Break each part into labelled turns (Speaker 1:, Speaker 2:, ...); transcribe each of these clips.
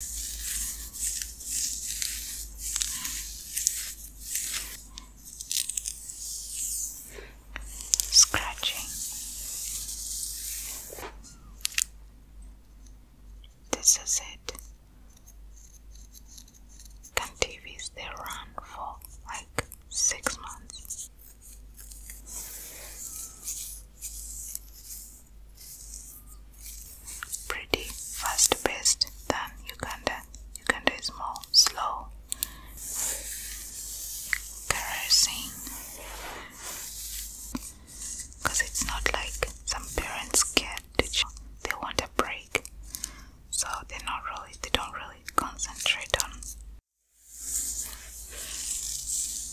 Speaker 1: Scratching. This is it. Contivies they run for like six months pretty fast paced than Uganda. Uganda is more slow, caressing, because it's not like some parents get to they want a break, so they're not really they don't really concentrate on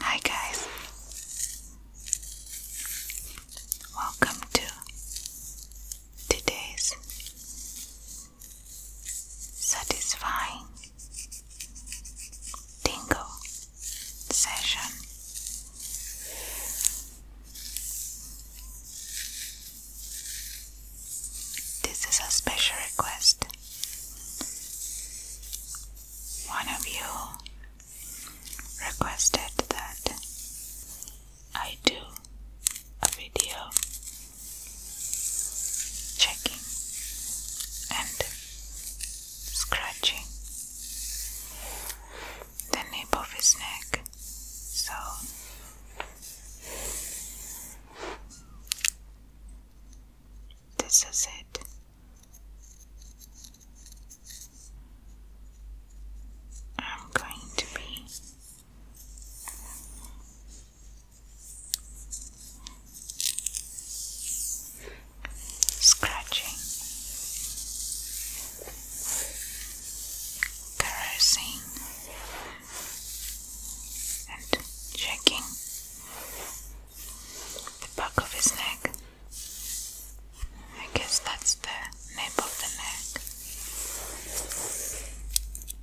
Speaker 1: Hi, guys, welcome to today's satisfying tingle session. This is a special request. One of you requested that I do a video checking and scratching the nape of his neck so this is it. I'm going to be scratching, caressing, and checking the back of his neck. I guess that's the nape of the neck.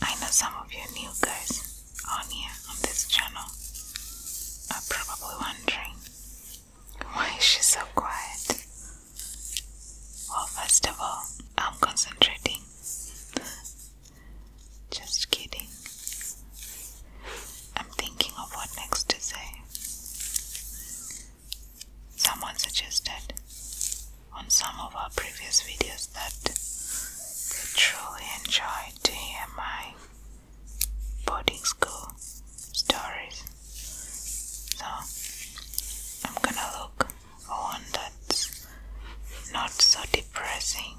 Speaker 1: I know some of you new guys on here on this channel are probably wondering why is she so quiet? Well, first of all, I'm concentrating just kidding. I'm thinking of what next to say. Someone suggested on some of our previous videos that they truly enjoy DMI boarding school stories. So I'm gonna look for one that's not so depressing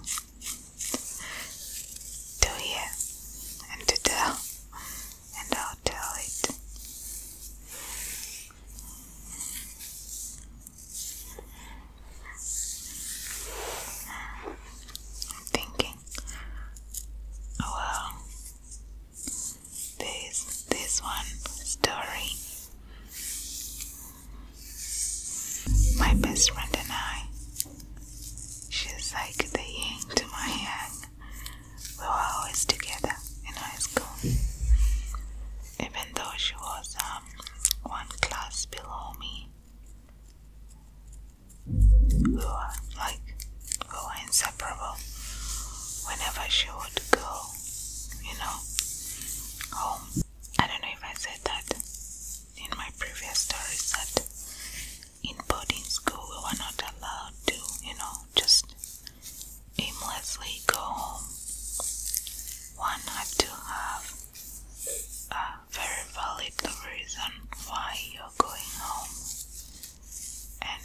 Speaker 1: to hear and to tell, and I'll tell it. I'm thinking, oh, well, this this one story my best friend and I, she's like the yin to my yang. We were always together in high school. Even though she was um, one class below me, we were like we were inseparable. Whenever she would go, you know, home. I don't know if I said that in my previous stories that in boarding school we were not allowed to, you know, just aimlessly go home. One had to have a very valid reason why you're going home. And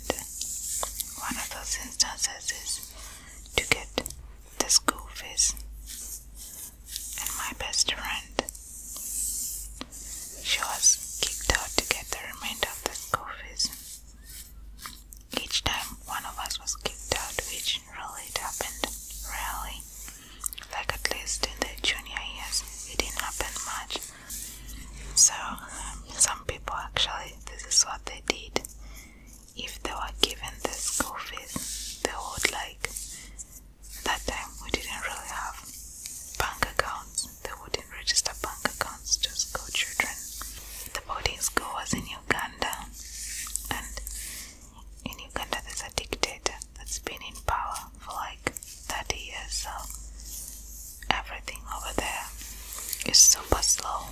Speaker 1: one of those instances is to get this goof And my best friend. She was kicked out to get of the goofies. Each time one of us was kicked out, which really happened rarely. Like at least in the junior years, it didn't happen much. So, um, some people actually, this is what they did if they were given the school fees they would like. That time we didn't really have bank accounts. They wouldn't register bank accounts to school children. The boarding school was in Uganda, and in Uganda there's a dictator that's been in power for like 30 years, so everything over there is super slow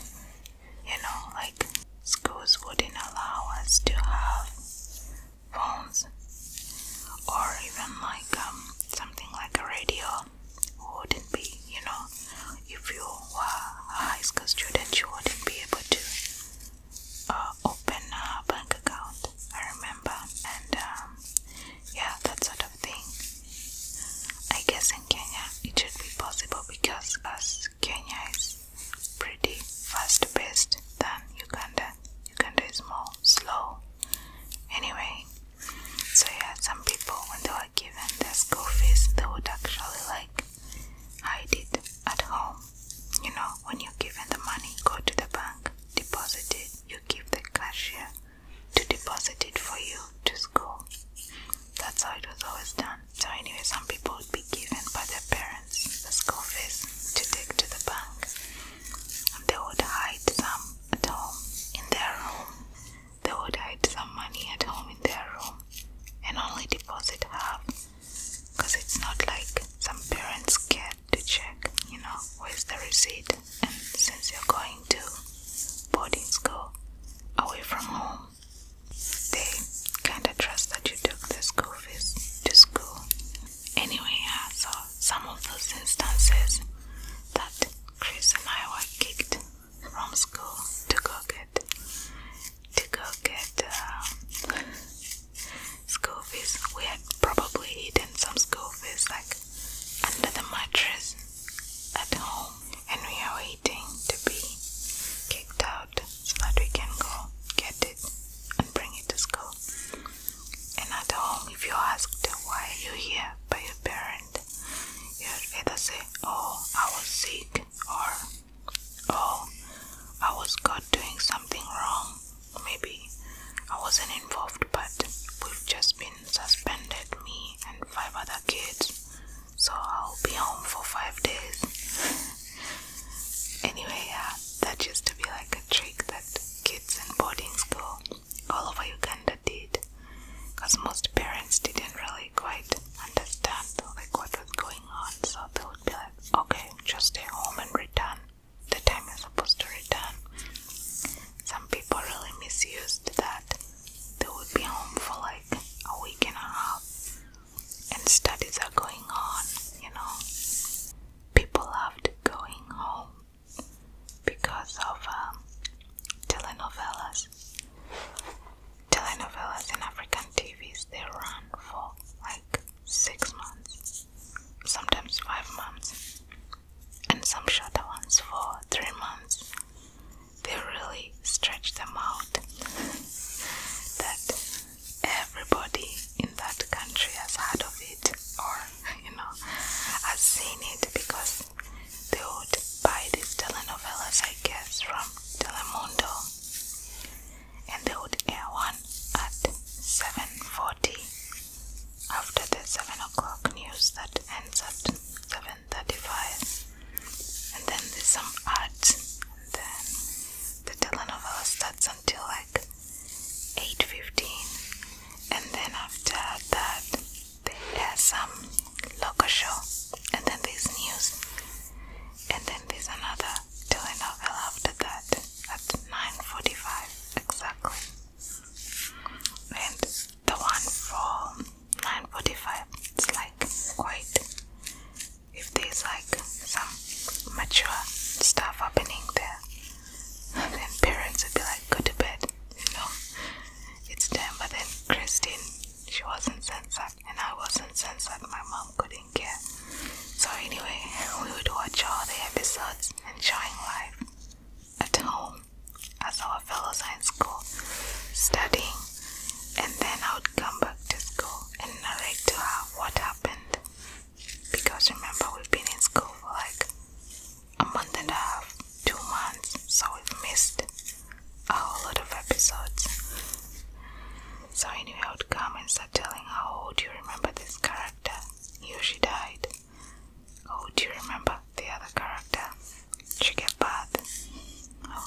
Speaker 1: you know, like schools wouldn't allow us to have phones or even like um, something like a radio wouldn't be, you know, if you were a high school student, you wouldn't be able to uh, open a bank account. I remember, and um, yeah, that sort of thing. I guess in Kenya it should be possible because as Kenya is pretty fast paced than Uganda. Uganda is more slow. Anyway, so yeah, some people when they were given their school fees, they would actually like hide it at home. You know, when you're given the money, go to the bank, deposit it. You give the cashier to deposit it for you to school. That's how it was always done. So anyway, some people would be given by their parents the school fees to take to the bank. And they would hide some at home in their room. They would hide some money at home in their room and only deposit half. Because it's not like some parents care to check, you know, where's the receipt? And since you're going to boarding school away from home, they kind of trust that you took the school fees to school. Anyway, I saw some of those instances that Chris and I were kicked from school to go get to go get uh, school fees. We had probably hidden some school fees like under the mattress at home and we are waiting to be kicked out so that we can go get it and bring it to school. And at home, if you ask asked why are you here by your parent, you will either say, Oh, I was sick, or Oh, I was caught doing something wrong. Maybe I wasn't involved, but we've just been suspended, me and five other kids, so I'll be home for five days. anyway, yeah, that used to be like a trick that kids in boarding school all over Uganda did because most parents didn't really quite understand like what was going on, so they would be like, okay, just stay home and return the time is supposed to return. Some people really misused that. They would be home for like a week and a half, and studies are going on, you know. People loved going home because of um, telenovelas. Telenovelas in African TVs they run for like six months, sometimes five months, and some shorter ones for three months they really stretch them out that everybody in that country has heard of it or you know has seen it because they would buy these telenovelas I guess from Telemundo and they would air one at 7.40 after the 7 o'clock news that ends at 35 and then there's some art then the telenovela starts until like 8.15 and then after that there's some local show and then there's news and then there's another telenovela after that at 9.45 exactly and the one for 945 it's like quite if there's like some mature stuff happening there then parents would be like go to bed you know it's time but then Christine she wasn't censored and I wasn't censored my mom couldn't care so anyway we would watch all the episodes enjoying life at home I saw a fellow sign school studying, and then I would come back to school and narrate to how what happened. Because remember, we've been in school for like a month and a half, two months, so we've missed a whole lot of episodes. So, anyway, I would come and start telling how old oh, you remember this character? He or she died. Oh, do you remember the other character? She gave birth. Oh,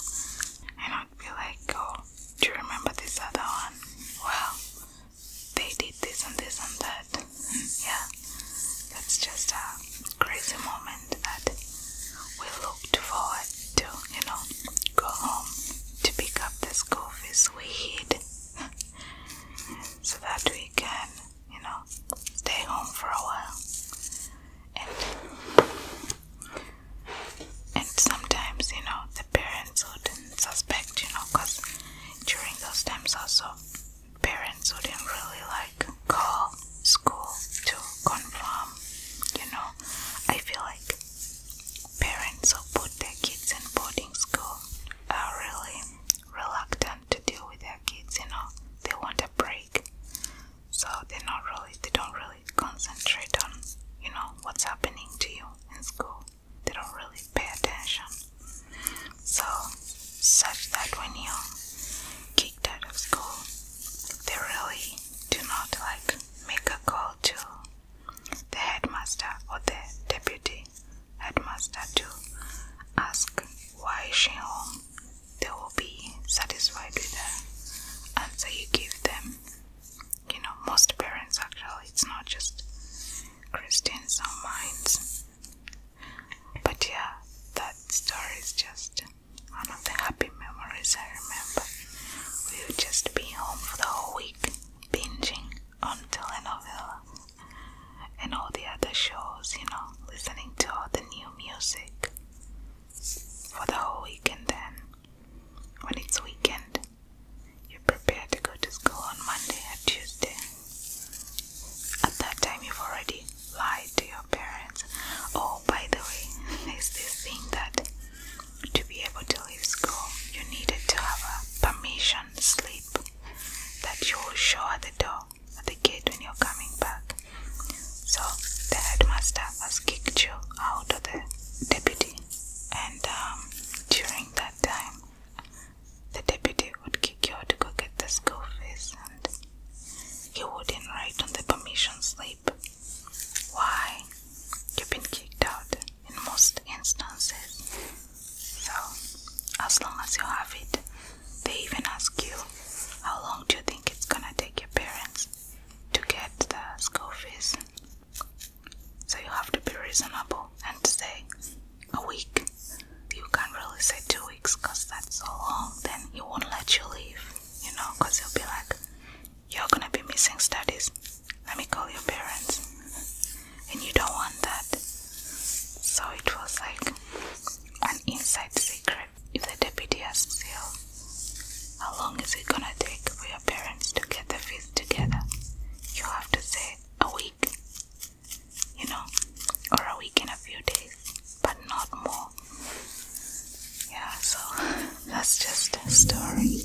Speaker 1: I don't feel like, oh, do you remember this other one? Well, they did this and this and that. Yeah, that's just a crazy moment that we looked forward to, you know, go home to pick up the school fees we hid so that we can you know, stay home for a while. And and sometimes, you know, the parents wouldn't suspect, you know, because during those times also parents wouldn't really like call school to confirm, you know. I feel like parents who put their kids in boarding school are really reluctant to deal with their kids, you know, they want a break. So they're not really, they don't really concentrate on, you know, what's happening to you in school. They don't really pay attention. So, such that when you're kicked out of school, they really do not like make a call to the headmaster or the deputy headmaster to ask why she home, they will be satisfied with the answer you give them. You know, most parents actually, it's not just Christians, some minds. But yeah, that story is just one of the happy memories I remember. We would just be home for the whole week, binging on telenovela and all the other shows, you know, listening to all the new music for the whole weekend. Then, when it's weekend, you are prepared to go to school on Monday and Tuesday. At that time, you've already lied to your parents. Oh, by the way, there's this thing that to be able to leave school, you needed to have a permission Sleep that you will show at the door, at the gate when you're coming back. So the headmaster has kicked you out of the deputy, and um, during that time, the deputy would kick you out to go get the school fees, and he wouldn't write on the permission slip. Why? You've been kicked out in most instances. So, as long as you have it, they even ask you how long do you think it's gonna take your parents to get the school fees. So, you have to be reasonable and say a week. You can't really say two weeks because that's so long, then he won't let you leave, you know, because he'll be like, You're gonna be missing studies let me call your parents. And you don't want that. So it was like an inside secret. If the deputy asks you, how long is it gonna take for your parents to get their fees together? You have to say a week, you know, or a week in a few days, but not more. Yeah, so that's just a story.